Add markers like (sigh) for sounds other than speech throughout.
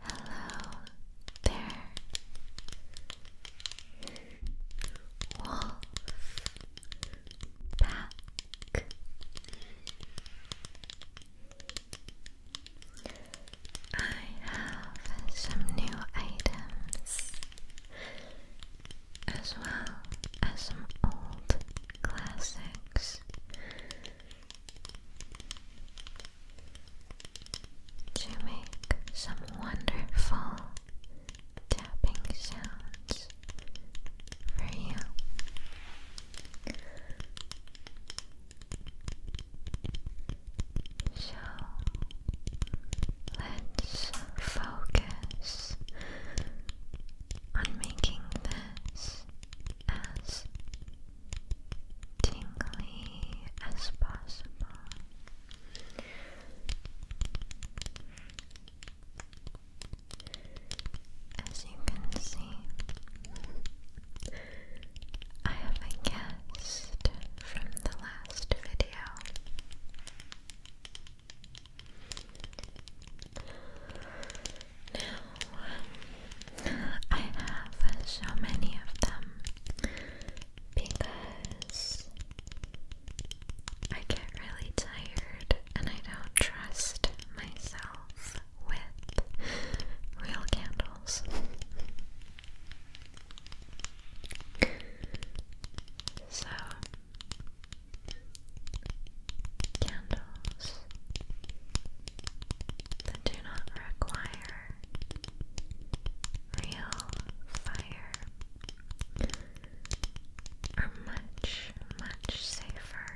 Hello there, Wolf Pack. I have some new items as well as some old classics to make some wonderful tapping sounds for you. So let's focus on making this as tingly as possible. As you can see, I have a guest from the last video. Now, um, I have so many of them because I get really tired and I don't trust myself with real candles. So, candles that do not require real fire are much, much safer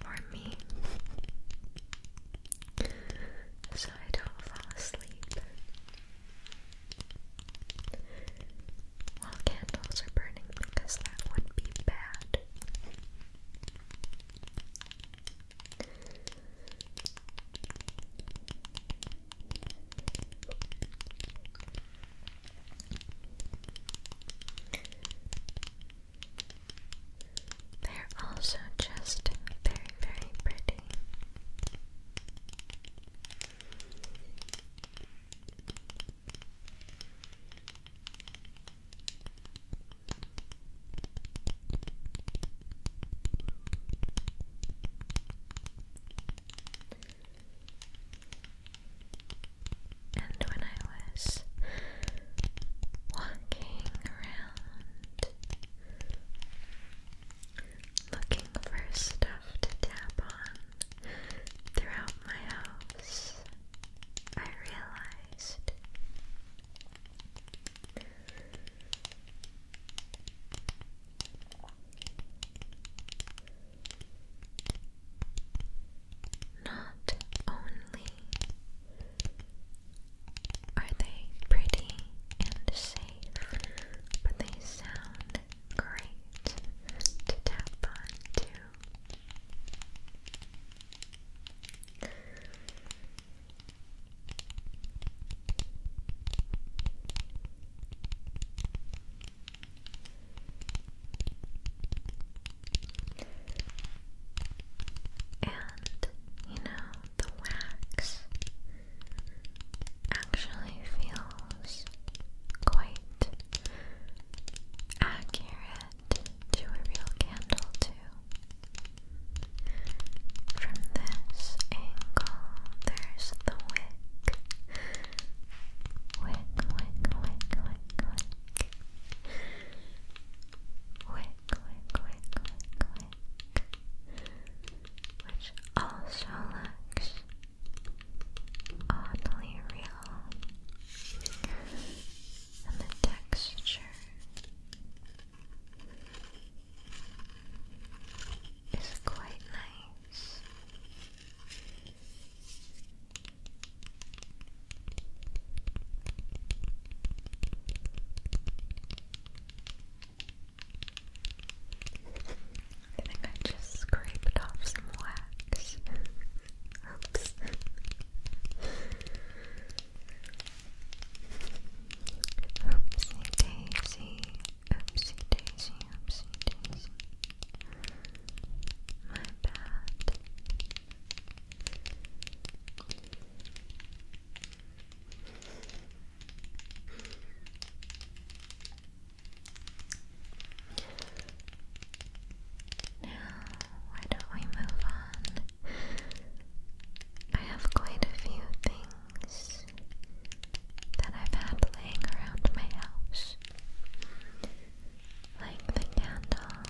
for me. So I don't fall asleep while candles are burning because that would be bad. They're also just very, very pretty. And when I was walking around looking for stuff to tap on, throughout my house, I realized not only are they pretty and safe, but they sound great to tap on too. And you know, the wax actually feels quite accurate to a real candle, too. From this angle, there's the wick. Wick, wick, wick, wick, wick. Wick, wick, wick, wick, wick. Which also looks oddly real, and the texture is quite nice. I think I just scraped off some wax. (laughs) Oops. Oopsie daisy, oopsie daisy, oopsie daisy. My bad. Now, why don't we move on? I have quite a few things that I've had laying around my house. Like the candle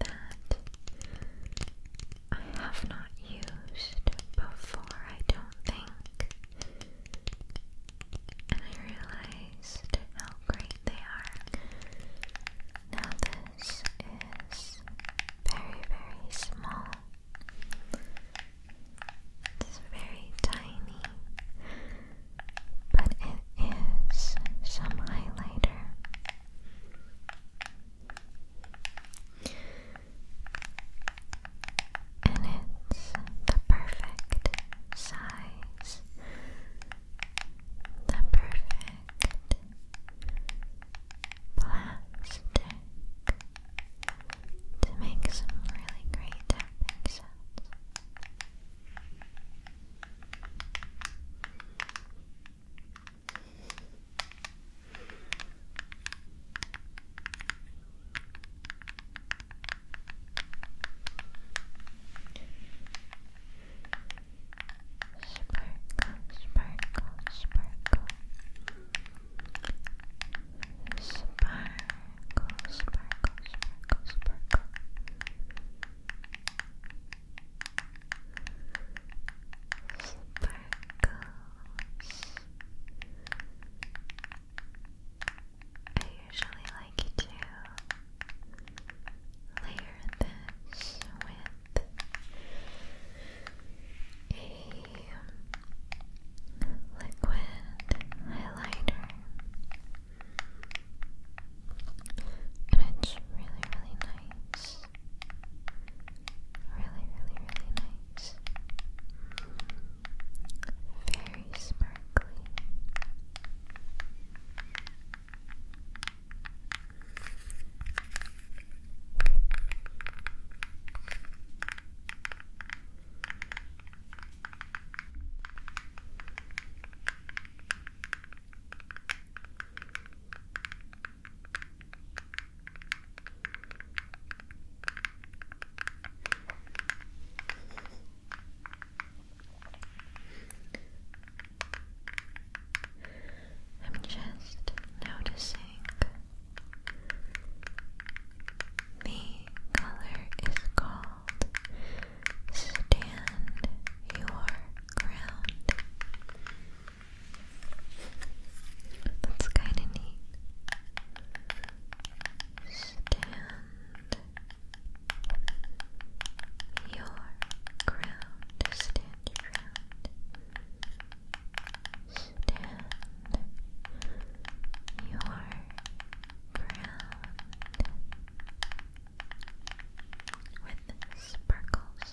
that I have not used before, I don't think and I realized how great they are. Now, this is very, very small. It's very tiny, but it is some highlighter. And it's the perfect size is the perfect plastic to make some really great tapping sounds. Now sparkle, sparkle, sparkle, sparkle, sparkle, sparkle. Sparkles. I usually like to layer this with a liquid highlighter. And it's really, really nice. Really, really, really nice very sparkly. I'm just noticing the color is called Stand Your Ground. That's kind of neat. Stand your ground stand Stand your ground with sparkles.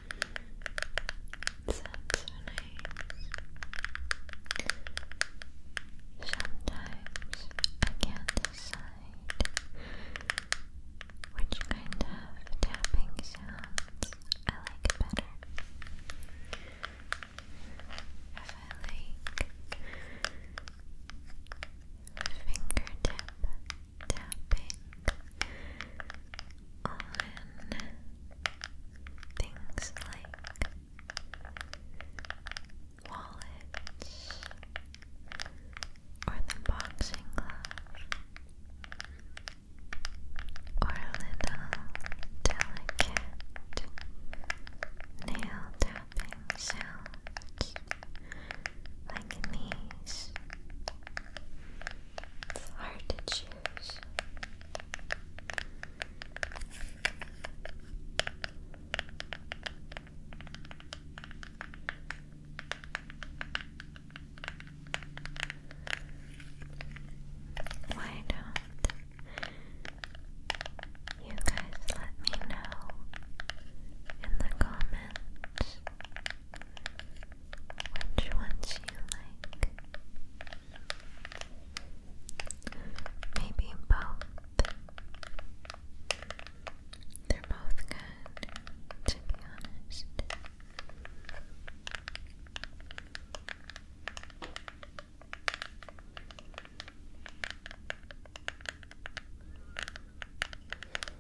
Sounds so Sometimes I can't decide which kind of tapping sounds I like better. If I like fingertip tapping on things like wallets or the boxing glove or little delicate nail tapping sounds like these. It's hard to choose. Why don't you guys let me know in the comments? Which ones you like? Maybe both. They're both good, to be honest.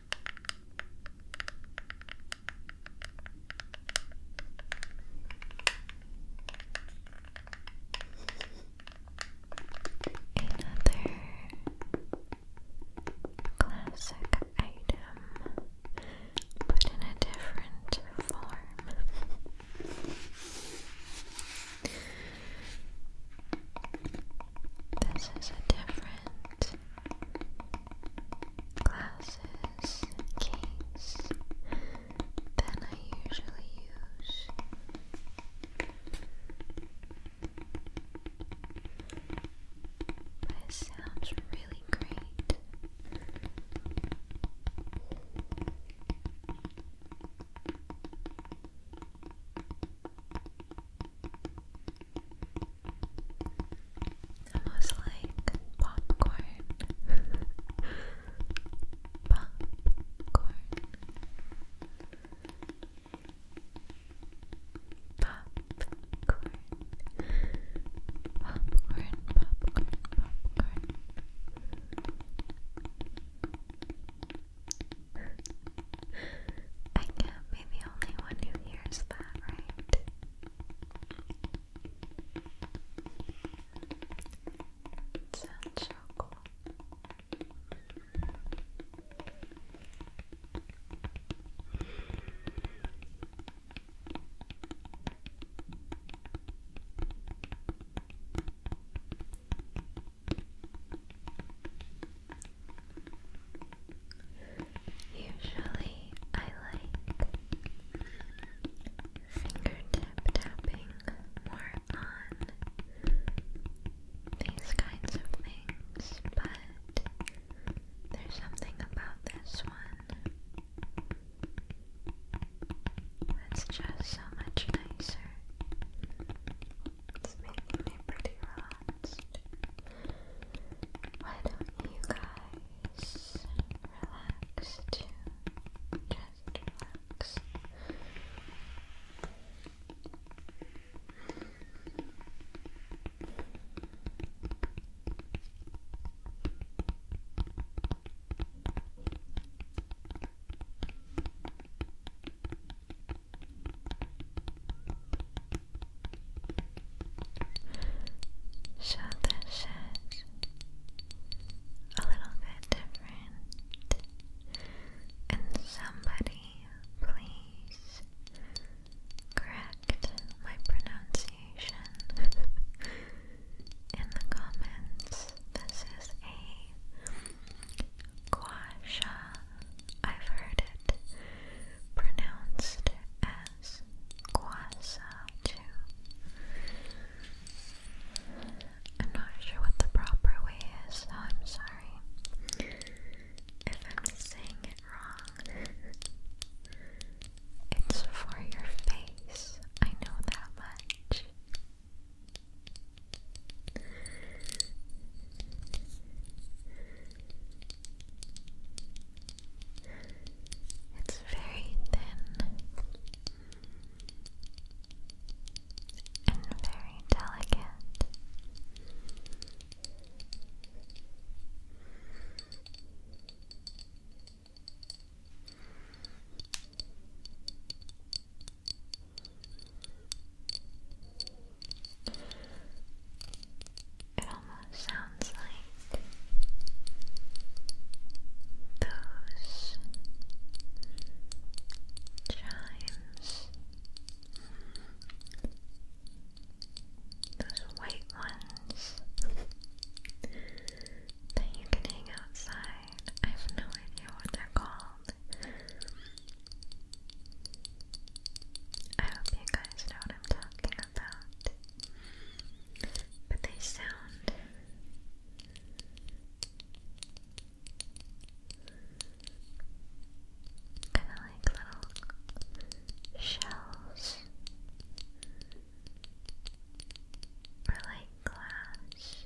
Another classic item, but in a different form. This is a different glasses case than I usually use. But sounds really great. Almost like (laughs) popcorn. popcorn. Popcorn. Popcorn, popcorn, popcorn. I can't be the only one who hears that, right? sounds so cool. Usually, I like fingertip tapping more on these kinds of things, but there's something about this one that's just so much nicer. It's making me pretty relaxed. Why don't you guys relax too? Just relax. Relax. So this is a little bit different. And somebody please correct my pronunciation (laughs) in the comments. This is a Gua sha. I've heard it pronounced as gua too. I'm not sure what the proper way is, I'm sorry if I'm saying it wrong. It's for your face, I know that much. It's very thin and very delicate. It almost sounds like those chimes, those white ones that you can hang outside. I have no idea what they're called. I hope you guys know what I'm talking about. But they sound kinda like little shells or like glass.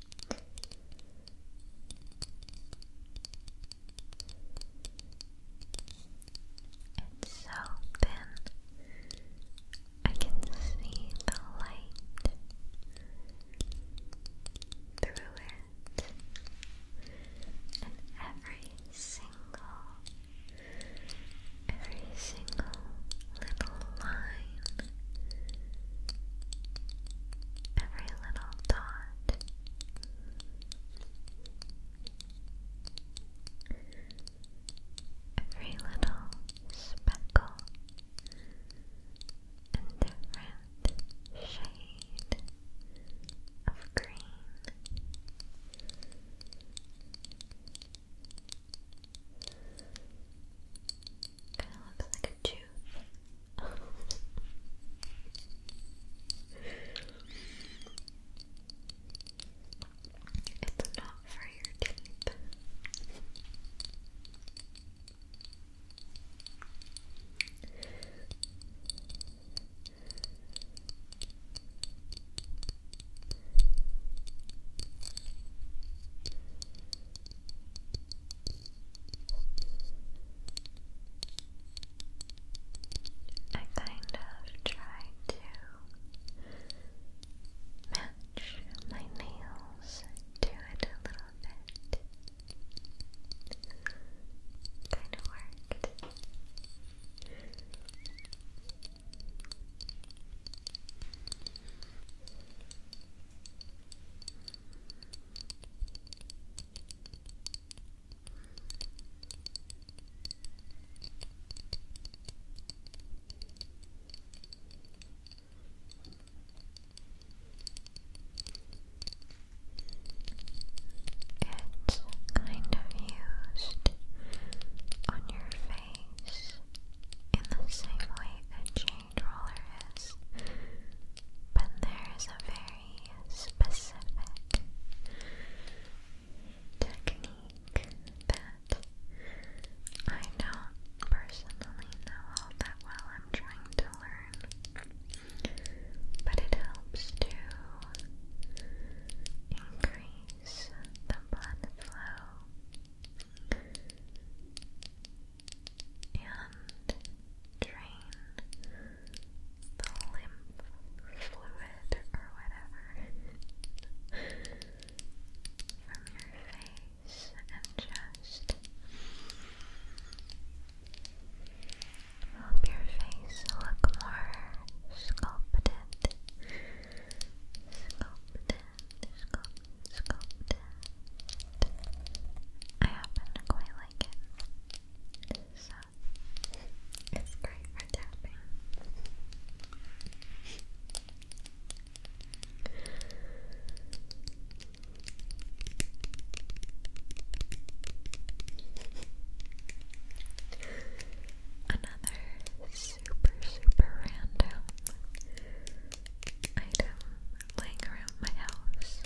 It's so thin. I can see the light through it, and every single, every single little line, every little dot. Every little speckle and different shade of green. Kind of looks like a tooth. (laughs) it's not for your teeth. Okay. I kind of try to match my nails to it a little bit. Kind of worked. It's kind of used on your face in the same way a chain roller is, but there is a very specific technique that I don't personally know all that well. I'm trying to learn, but it helps to increase the blood flow and drain the lymph fluid or whatever from your face and chest. Help your face look more sculpted. Sculpt it. I happen to quite like it. So it's great for tapping. Another super, super random item laying around my house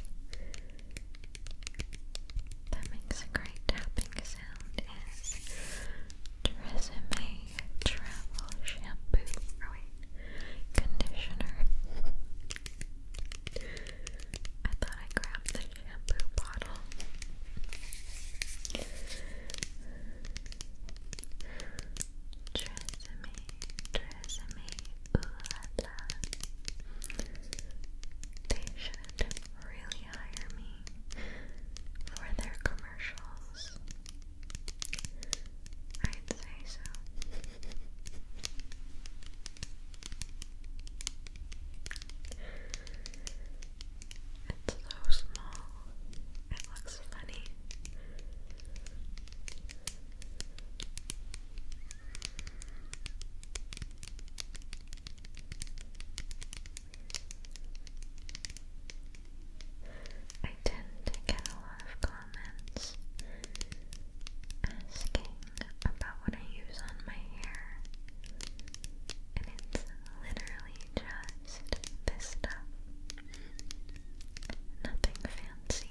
that makes a great tapping sound is Tresemme Travel Shampoo. Or oh, wait, conditioner. I thought I grabbed the shampoo bottle trust me. ooh la la. They should really hire me for their commercials. I'd say so. It's so small. That's funny. I tend to get a lot of comments asking about what I use on my hair, and it's literally just relaxed vista. Nothing fancy.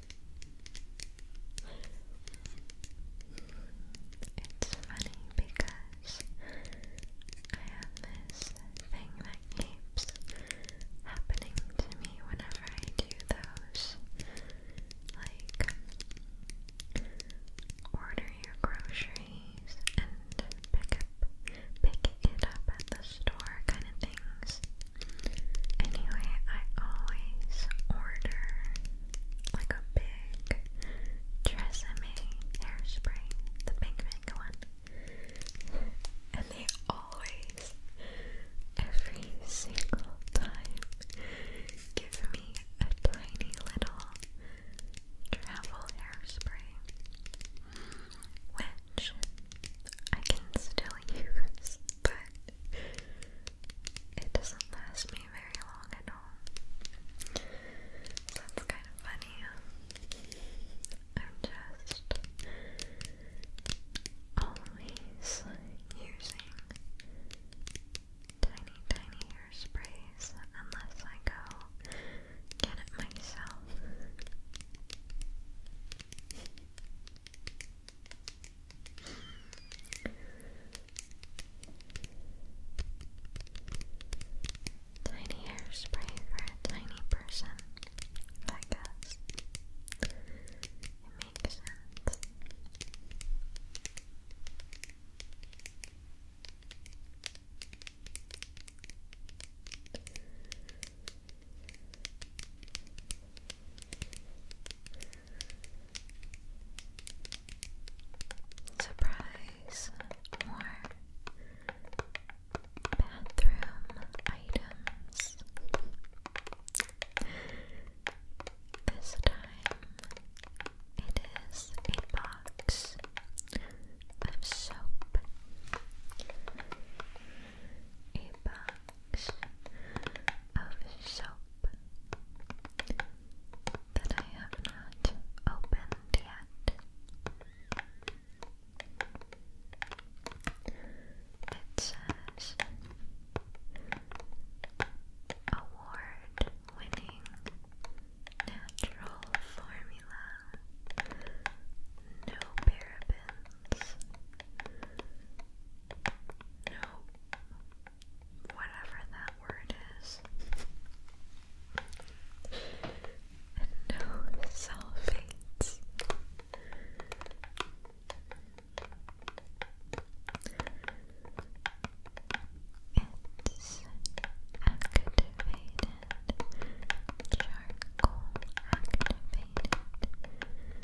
It's funny because I have this thing that keeps happening to me whenever I do those. Like, order your groceries and pick up, pick it up at the store kind of things. Anyway, I always order like a big Tresemme hairspray, the pink pink one, and they always, every single time, give me a tiny little travel hairspray, which I can still use, but it doesn't last me very long at all. So that's kind of funny. I'm just always using tiny, tiny hairsprays unless I go get it myself. Tiny hairspray for a tiny person like us. It makes sense. Surprise! More bathroom items. This time it is a box of soap a box of soap that I have not opened yet. It says award winning natural formula. No paraben, ribbons. No, whatever that word is. And no sulfates. It's activated, charcoal activated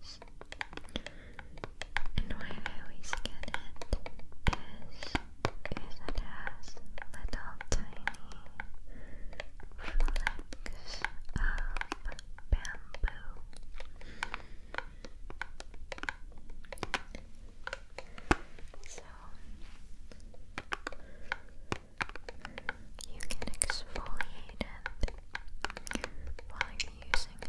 this. And why I always get it is, it has little tiny flecks of bamboo. So you can exfoliate it while you're using it.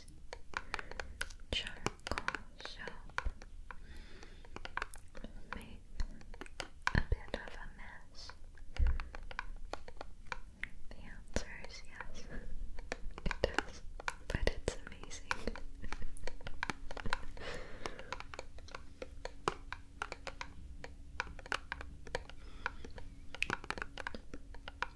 charcoal soap make a bit of a mess? The answer is yes, (laughs) it does, but it's amazing. (laughs) And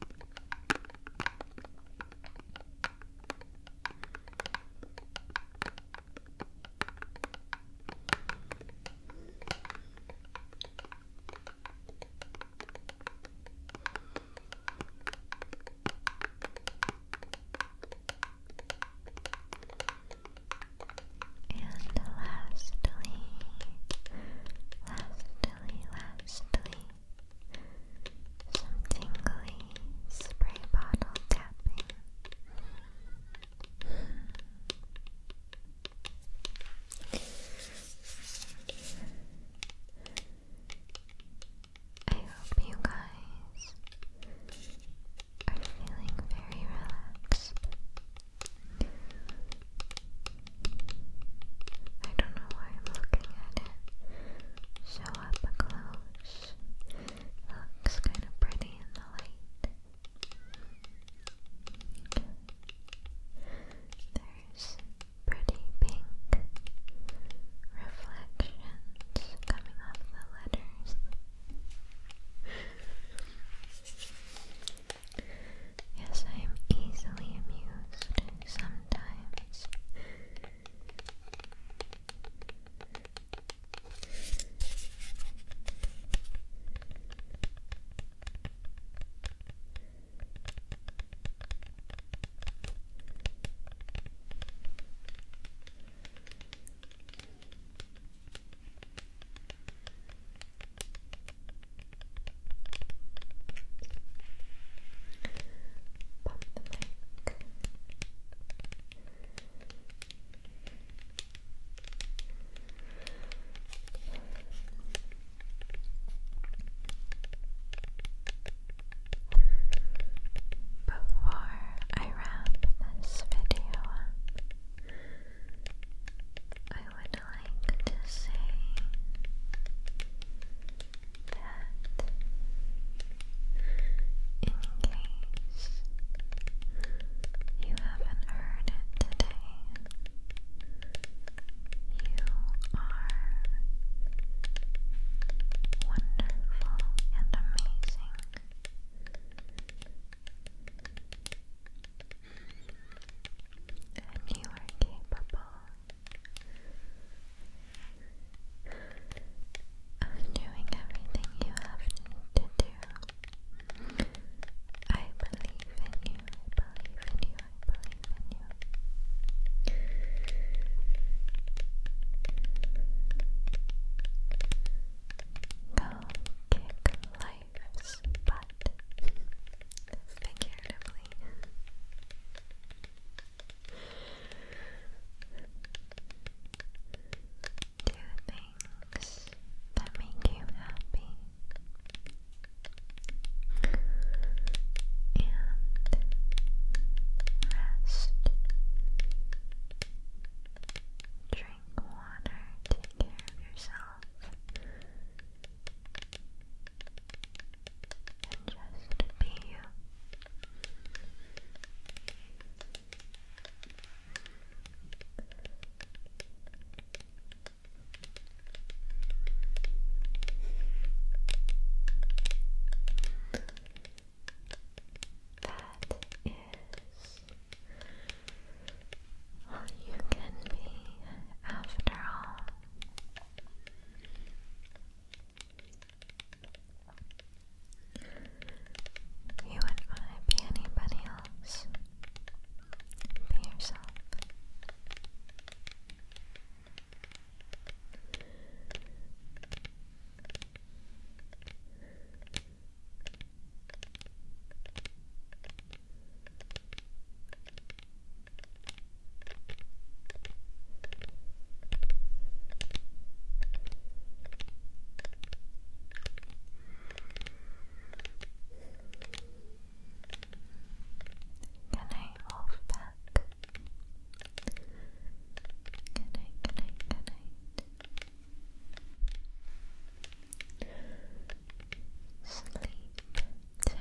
lastly, lastly, actually lastly some tingly spray bottle tapping. I hope you guys are feeling very relaxed. I don't know why I'm looking at it. So up close. looks kind of pretty in the light. There's pretty pink reflections coming off the letters. Yes, I am easily amused sometimes. Pop the Before I wrap this video I would like to say that in case you haven't heard it today, you are wonderful and amazing and you are capable of doing everything you have to do. I believe in you, I believe in you, I believe in you. Go kick life lives, but figuratively. Do things that make you happy and rest. Drink water, take care of yourself and just be you. That is you can be after all. You wouldn't want to be anybody else. Be yourself. Be Good night, Wolfpack. Good night, good night, good night. Sleep tight.